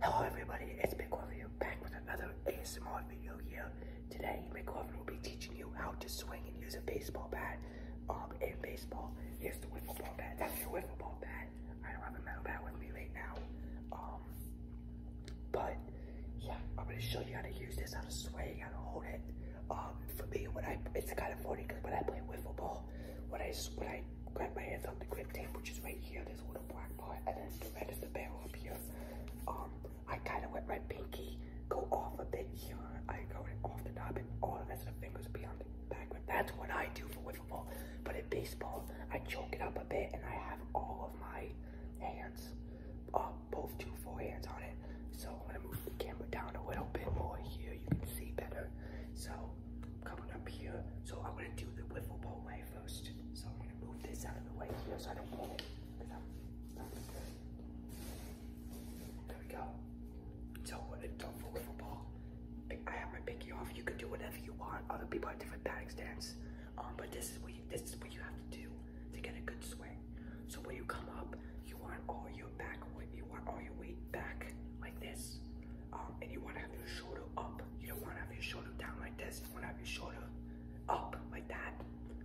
Hello everybody, it's Big Review back with another ASMR video here. Today, Big Review will be teaching you how to swing and use a baseball bat. Um, in baseball, here's the wiffle ball bat. That's your wiffle ball bat. I don't have a metal bat with me right now. Um, but yeah, I'm gonna show you how to use this, how to swing, how to hold it. Um, for me, when I it's kind of funny because when I play wiffle ball, what I what I grab my hands on the grip tape, which is right here. This little black part, and then the red is the barrel up here. Um, I kind of let my pinky go off a bit here. I go off the top, and all the rest of the fingers beyond the back But That's what I do for wiffle ball. But in baseball, I choke it up a bit, and I have all of my hands, uh, both two full hands on it. So I'm gonna move the camera down a little bit more here. You can see better. So ball coming up here. So I'm gonna do the wiffle ball way first. So I'm gonna move this out of the way here so I don't get it. There we go. So what a done for wiffle ball. I have my pinky off. You can do whatever you want. Other people have different batting stance. Um, but this is what you, this is what you have to do to get a good swing. So when you come up, you want all your back weight, you want all your weight back like this. Um, and you want to have your shoulder up. You don't want to have your shoulder down like this. You want to have your shoulder up like that.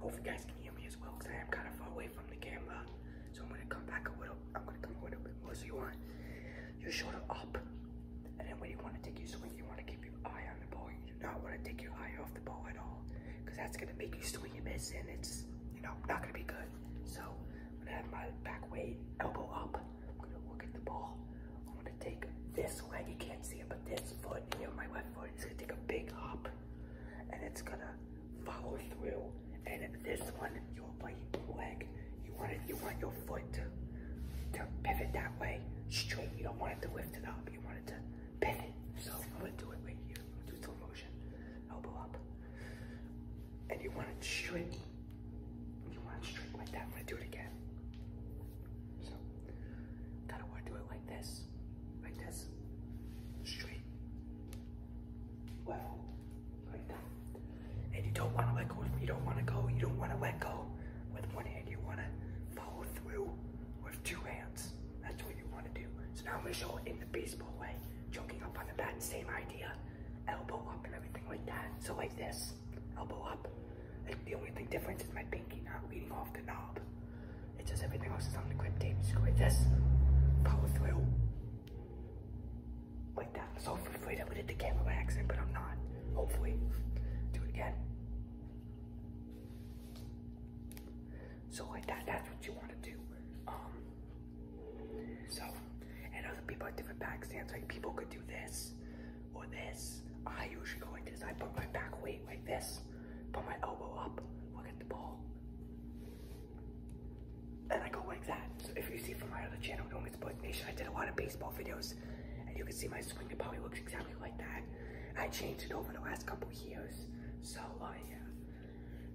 Hope you guys can hear me as well because I am kind of far away from the camera. So I'm going to come back a little. I'm going to come a little bit more. So you want your shoulder up. And then when you want to take your swing, you want to keep your eye on the ball. You do not want to take your eye off the ball at all because that's going to make you swing and miss. And it's, you know, not going to be good. So I'm gonna have my back weight, elbow up. I'm gonna look at the ball. I'm gonna take this leg, you can't see it, but this foot here, my left foot, is gonna take a big hop and it's gonna follow through. And this one, your right leg, you want it, you want your foot to, to pivot that way straight. You don't want it to lift it up. You want it to pendant. So I'm gonna do it right here. I'm gonna do slow motion. Elbow up. And you want it straight. You want to straight like that. I'm gonna do it again. So gotta wanna do it like this. Like this. Straight. Well, like that. And you don't wanna let go, you don't wanna go, you don't wanna let go with one hand. You wanna follow through with two hands. That's what you want to do. So now I'm going to show it in the baseball way. Choking up on the bat, same idea. Elbow up and everything like that. So like this, elbow up. Like the only thing different is my pinky not leading off the knob. It's just everything else is on the grip tape. So go like this, follow through. Like that. So for am afraid I the camera by accident, but I'm not. Hopefully. Do it again. So like that, that's what you want to do. Um, so, and other people have different back stands. Like people could do this or this. I usually go like this. I put my back weight like this, put my elbow up, look at the ball, and I go like that. So if you see from my other channel, Don't Get Sports Nation, I did a lot of baseball videos, and you can see my swing. It probably looks exactly like that. I changed it over the last couple years. So, uh, yeah.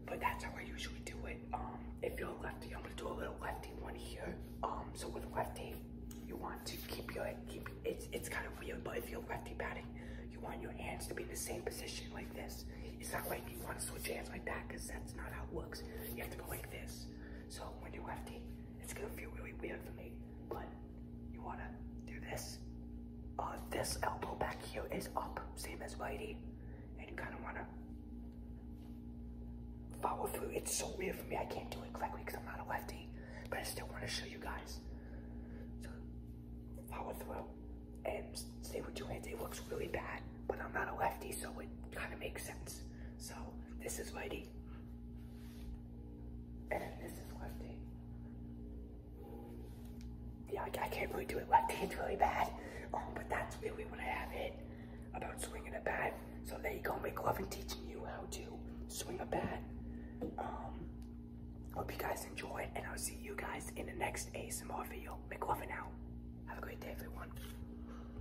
But that's how I usually do it. Um, if you're lefty, I'm gonna do a little lefty one here. Um, so with lefty, you want to keep your keep it's it's kind of weird, but if you're lefty batting, you want your hands to be in the same position like this. It's not like you want to switch hands like that because that's not how it works. You have to go like this. So when you're lefty, it's gonna feel really weird for me, but you wanna do this? Uh, this elbow back here is up, same as Whitey, and you kinda wanna follow through. It's so weird for me, I can't do it correctly because I'm not a lefty, but I still wanna show you guys. So, follow through and stay with two hands. It looks really bad, but I'm not a lefty, so it kinda makes sense. So, this is Whitey. Squifty. And this is Squifty. Yeah, I, can't really do it lefty, it's really bad. Um, but that's really what I have it about swinging a bat. So there you go, McLovin teaching you how to swing a bat. Um, hope you guys enjoyed, and I'll see you guys in the next ASMR video. McLovin Now, Have a great day, everyone.